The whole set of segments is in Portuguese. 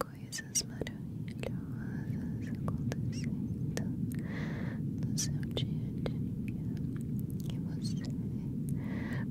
Coisas maravilhosas acontecendo no seu dia a dia e você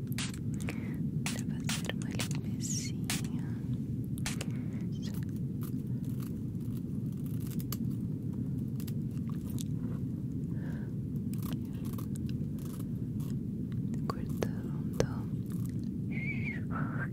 para fazer uma limpeza. Cortando. Aqui.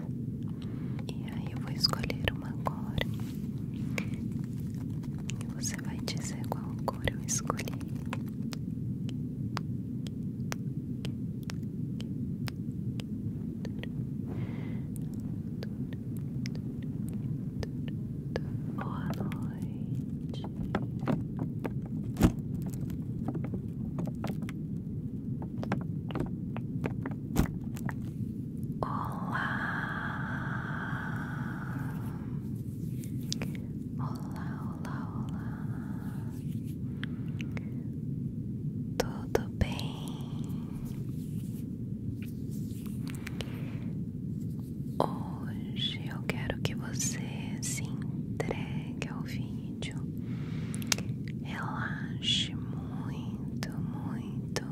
E aí eu vou escolher uma cor. E você vai dizer qual cor eu escolhi. Boa noite. Olá, olá, olá, olá. Tudo bem? Hoje eu quero que você se entregue ao vídeo, relaxe muito, muito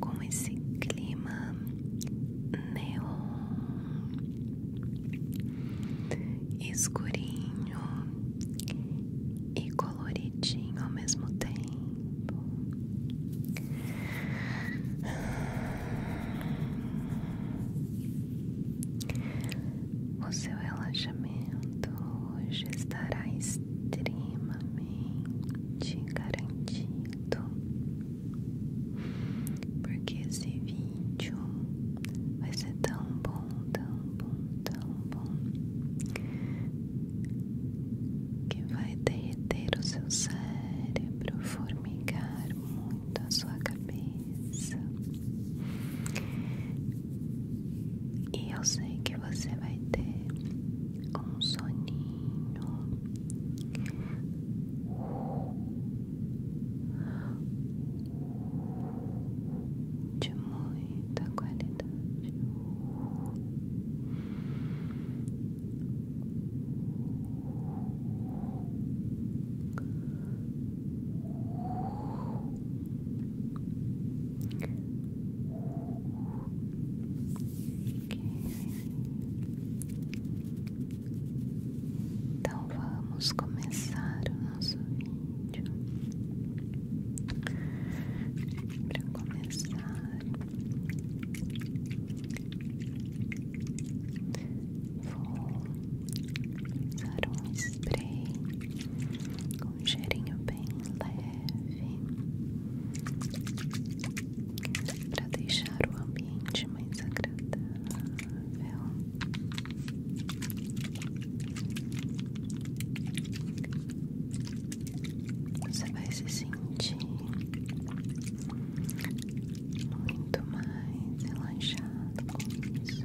com esse clima neon, escurinho e coloridinho ao mesmo tempo. O seu relaxamento hoje estará extremamente garantido, porque esse vídeo vai ser tão bom, tão bom, tão bom que vai derreter o seu cérebro, formigar muito a sua cabeça. E eu sei que você vai ter um soninho de muita qualidade. Relaxa. Então vamos começar o nosso vídeo. Para começar, vou usar um spray com um cheirinho bem leve leve para deixar o ambiente mais agradável. Você vai se sentir muito mais relaxado com isso.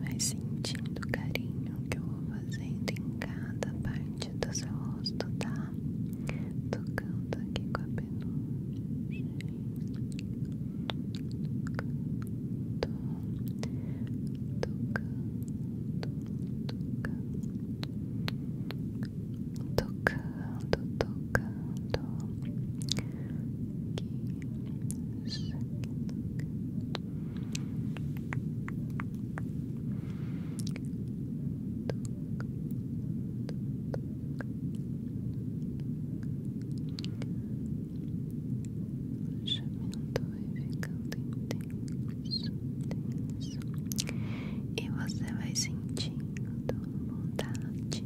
Vai sentindo o carinho que eu vou fazendo em cada parte do seu rosto, tá? Tocando aqui com a penugem. Tocando, tocando tocando, tocando aqui, isso chamento vai e você vai sentindo bondade,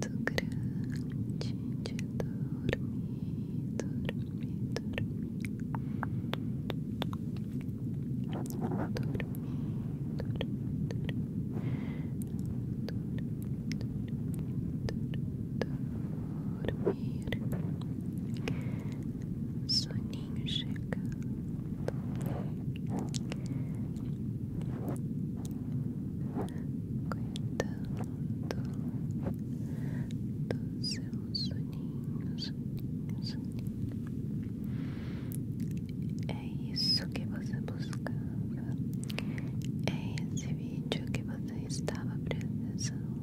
do grande de dormir, dormir, dormir. Dormir, dormir, dormir. Dormir soninho chegando. Cuidando do seu soninho, soninho, soninho. É isso que você buscava. É esse vídeo que você estava prestando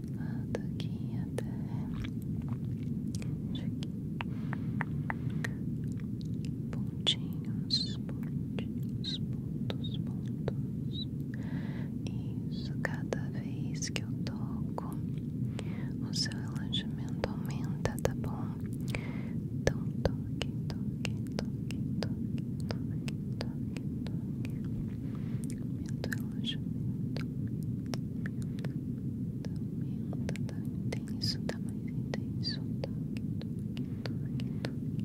lado aqui até pontinhos, pontinhos, pontos, pontos. Isso, cada vez que eu toco, o seu relaxamento aumenta, tá bom? Então toque, toque, toque, toque, toque, toque, toque. Aumenta o alojamento, aumenta, aumenta, tá intenso, tá mais intenso, toque, toque, toque, toque,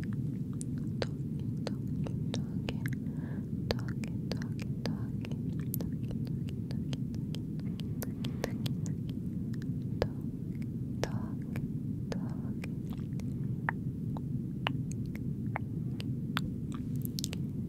toque, toque, toque, toque, toque, toque, toque, toque, toque, toque, toque, toque,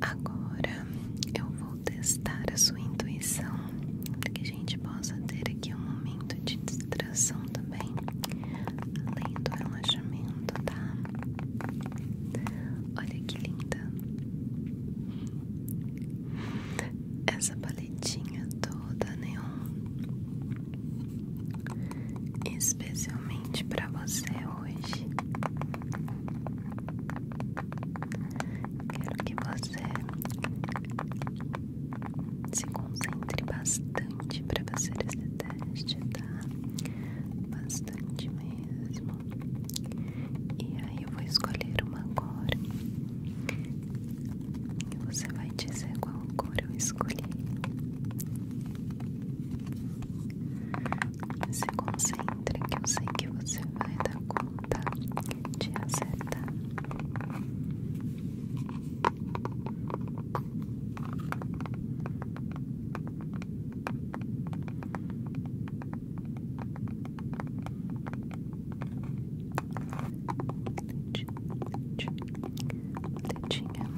Agora eu vou testar a sua intuição para que a gente possa ter aqui um momento de distração também, além do relaxamento, tá? Olha que linda! Essa paletinha toda neon, né? especialmente para você hoje. Quero que você se concentre bastante para fazer esse teste, tá? Bastante mesmo. E aí eu vou escolher uma cor. E você vai dizer qual cor eu escolhi. Se concentre que eu sei que você vai dar conta te acertar. Tetinha.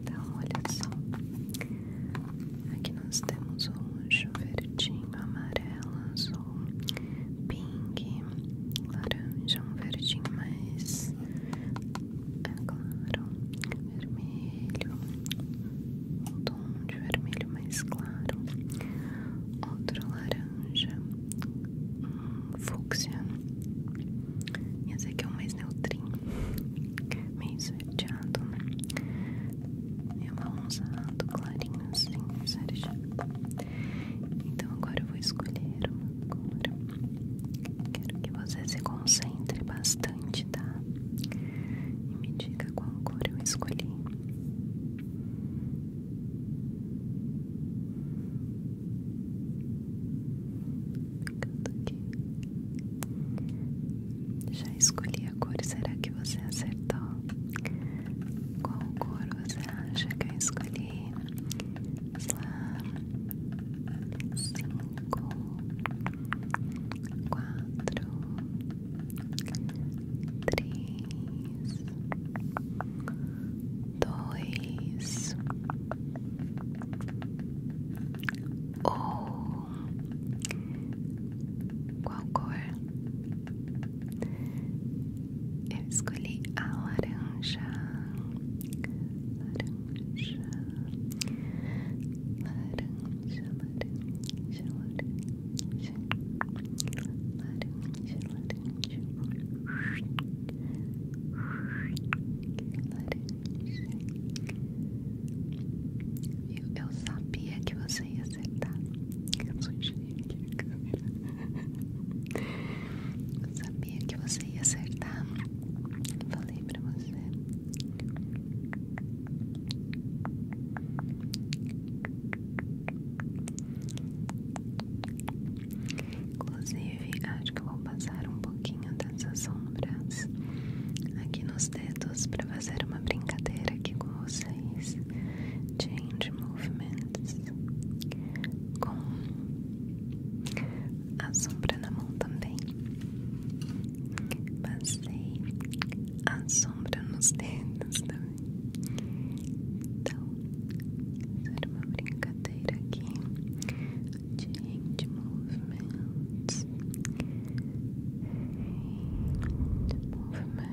Então, olha só. Aqui nós temos o anjo verdinho, amarelo, azul, um pink, laranja, um verdinho mais é, claro, vermelho, um tom de vermelho mais claro, outro laranja, um fúcsia, e esse aqui é o mais neutro, meio sorteado, né? e é amarronzado, clarinho, assim, sérgio. Então agora eu vou escolher uma cor. Quero que você se concentre bastante, tá? E me diga qual cor eu escolhi. Aqui. Já escolhi a cor, será que você acertou? Qual cor você acha que eu cinco, quatro, três, dois, um. Qual cor? Eu escolhi a laranja, laranja, laranja, laranja, laranja, laranja, laranja, laranja. Eu, eu sabia que você ia acertar. Eu sou engenheiro aqui na câmera. Eu sabia que você ia acertar. Falei pra você. Inclusive, acho que eu vou passar um pouquinho dessas sombras aqui nos dedos para fazer uma brincadeira aqui com vocês. Change Movements com a sombra na mão também. Passei a sombra nos dedos também. Então, fazer uma brincadeira aqui. Change Movements. Change Movements.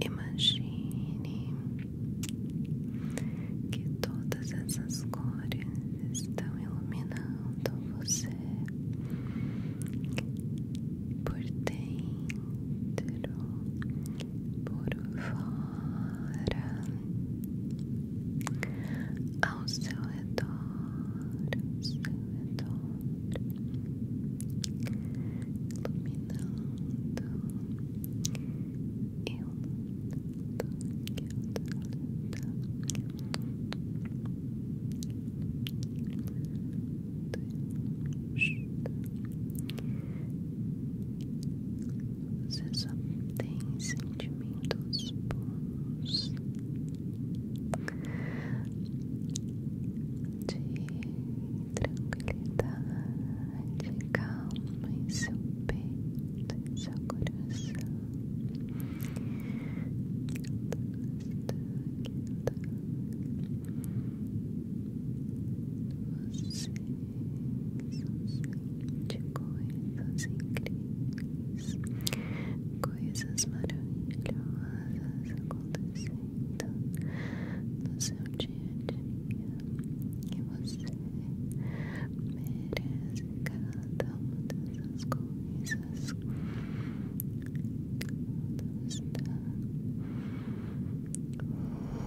Imagine que todas essas cores estão iluminando você por dentro, por fora ao seu redor, ao seu redor, iluminando. Eu Iluminando, iluminando, iluminando, iluminando, iluminando, você só tem sentimentos bons de tranquilidade, calma em seu peito, em seu coração somente coisas incríveis, coisas maravilhosas acontecendo no seu dia a dia e você merece cada uma dessas coisas. Tudo está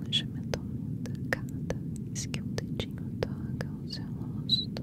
Hoje me torna cada vez que um dedinho toca o seu rosto.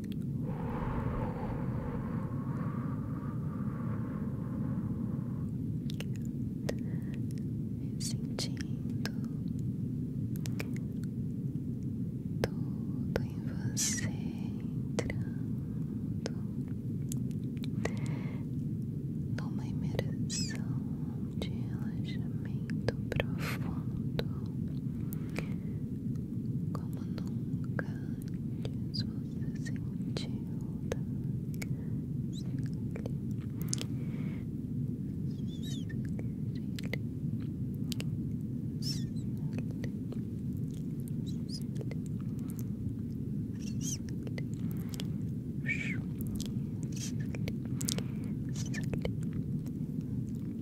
me sentindo tudo em você entrando numa imersão de relaxamento profundo como nunca antes você sentiu tá?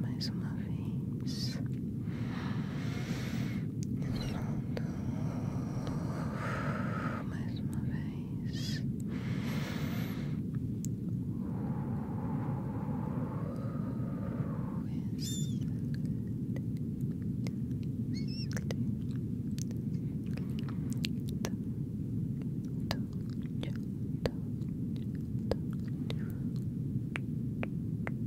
mais uma vez. Soltando. Mais uma vez.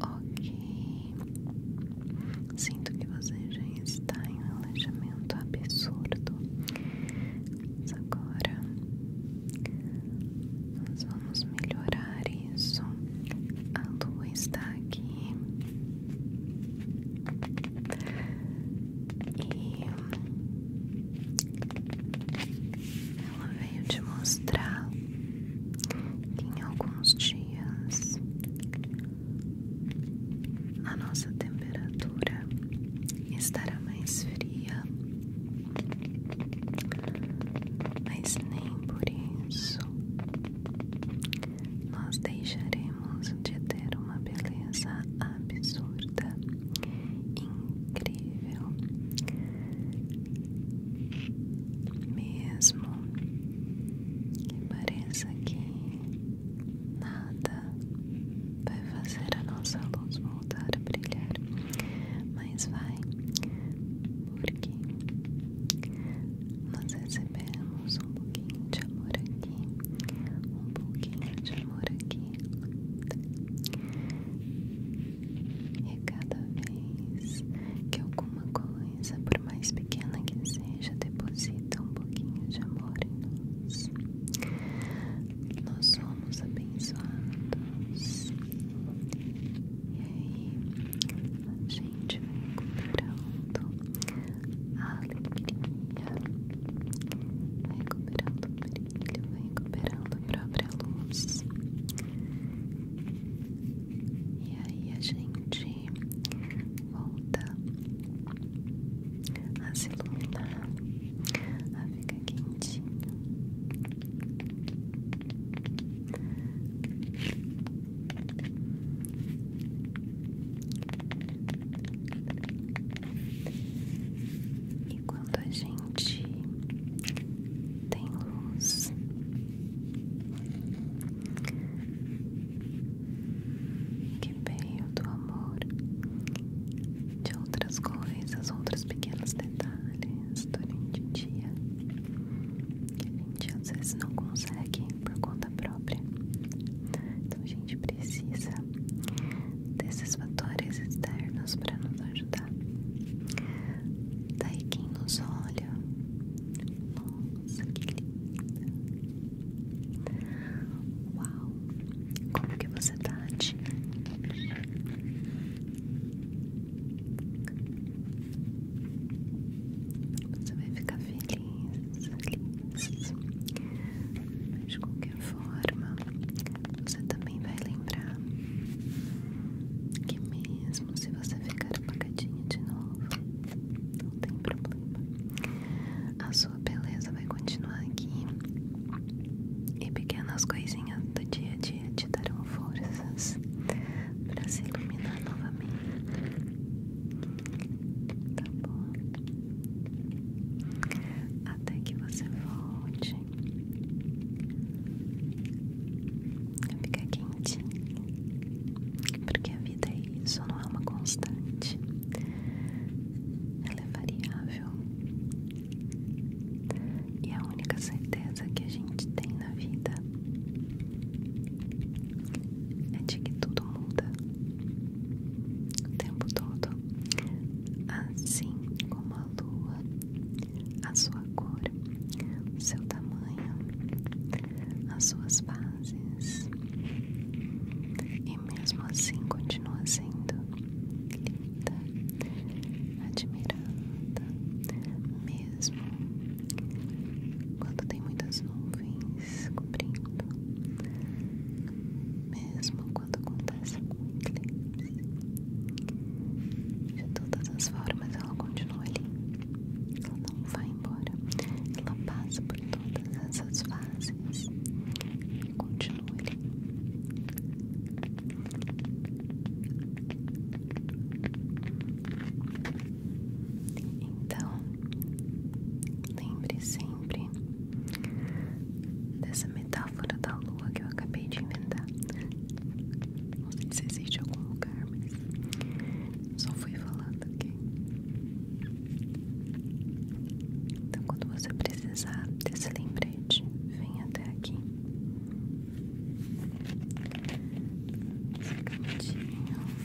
Ok, sinto que você já está em um alejamento absurdo. Mas agora nós vamos melhorar isso. A lua está aqui. E ela veio te mostrar que em alguns dias a nossa temperatura estará mais fria, mas nem por isso nós deixaremos de ter uma beleza absurda, incrível, mesmo que pareça que nada vai fazer a nossa luz voltar a brilhar, mas vai, porque nós recebemos um pouquinho de amor aqui um pouquinho de amor aqui, e cada vez que alguma coisa, por mais pequena que seja, deposita um pouquinho de amor em nós, nós somos abençoados, e aí a gente vai encontrando alegria, vai recuperando brilho, vai recuperando a própria luz. E aí a gente volta a se iluminar, a ficar quentinho. E quando a gente tem luz, que veio do amor, de outras coisas, outros pequenos detalhes durante o dia, que a gente às vezes não consegue por conta própria. Então a gente precisa desses fatores externos para nos ajudar. Daí quem nos olha, nossa, que linda! Uau! Como que você tá, tia? Você vai ficar feliz. Mas de qualquer forma, você também vai lembrar que mesmo se você ficar apagadinha de novo, não tem problema. A sua beleza vai continuar aqui e pequenas coisinhas do dia a dia te darão forças para se iluminar novamente tá bom? Até que você volte, fica quente porque a vida é isso, não é uma constante, ela é variável e a única certeza que a gente tem na vida é de que tudo muda o tempo todo, assim como a lua, a sua cor, o seu tamanho, as suas bases, e mesmo assim continua sendo linda, admirada, mesmo quando tem muitas nuvens mais mesmo quando acontece algum eclipse. De todas as formas, ela continua ali, ela não vai embora, ela passa por todas essas fases e continua ali. Então, lembre sempre dessa metáfora da lua que eu acabei de inventar. Não sei se existe algum lugar, mas só fui falando, aqui Então, quando você precisar desse lembrete, vem até aqui. Esse cantinho de universo.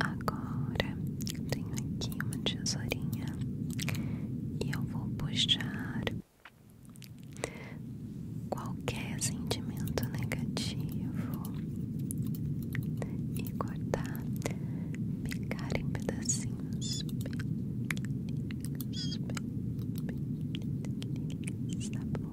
Agora tenho aqui uma tesourinha e eu vou puxar qualquer sentimento negativo e cortar, picar em pedacinhos pequenininhos, pequenininhos, tá bom?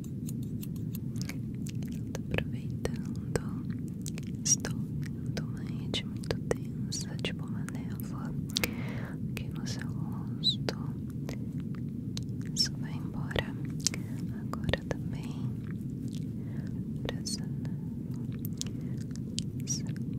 aproveitando. Estou vendo uma rede muito densa, tipo uma névoa, aqui no seu rosto. Isso vai embora. Agora também. Pra essa névoa. Essa daqui.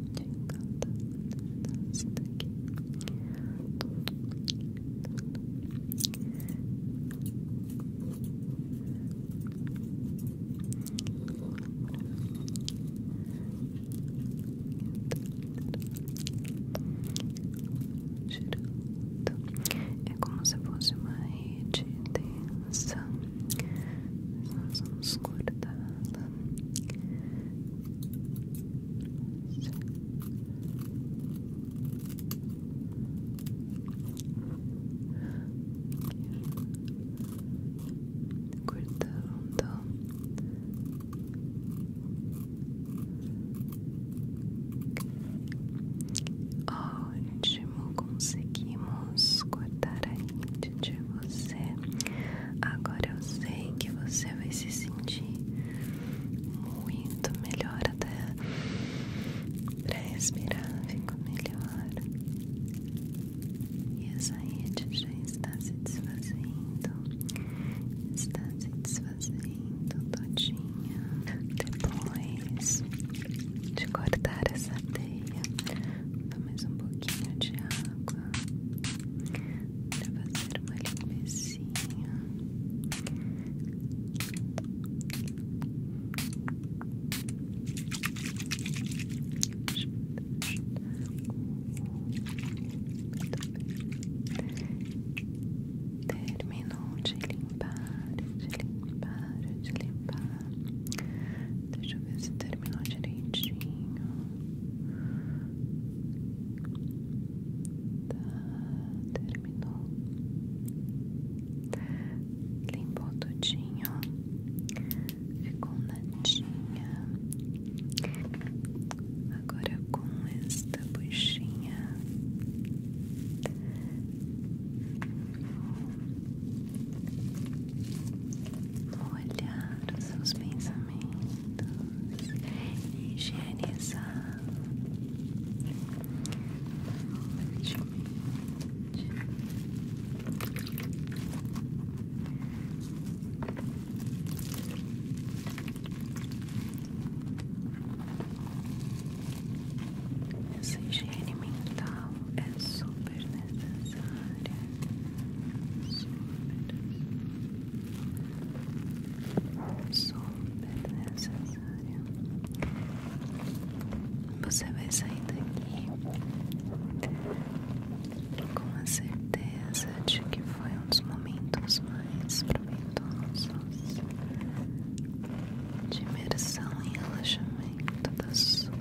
É como se fosse uma rede densa. Nós vamos cortá cortando ótimo, conseguimos cortar a mente de você agora eu sei que você vai se sentir muito melhor até para respirar fica melhor e essa rede já está se desfazendo está se desfazendo todinha depois de cortar essa teia dá mais um pouquinho de água para fazer uma limpeza assim. Terminou de limpar, de limpar, de limpar. Deixa eu ver se terminou direitinho. Tá, terminou. Limpou todinho, ficou natinha. Agora com esta buchinha vou olhar os seus pensamentos, higienizar seja higiene mental é super necessário Super, super necessária. Você vai sair daqui com a certeza de que foi um dos momentos mais proveitosos de imersão e relaxamento da sua vida.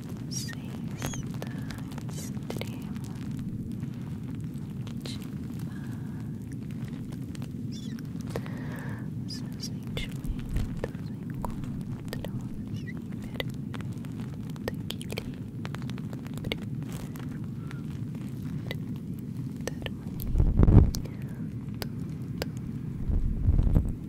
Você está extremamente paz. Seus sentimentos encontram-se em perfeito equilíbrio. Harmonia. Tudo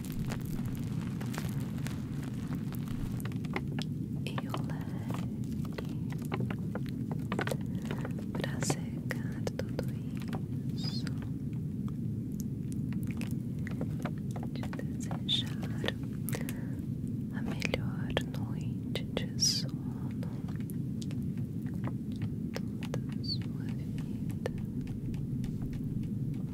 e o leque para secar tudo isso. Te desejar a melhor noite de sono da sua vida.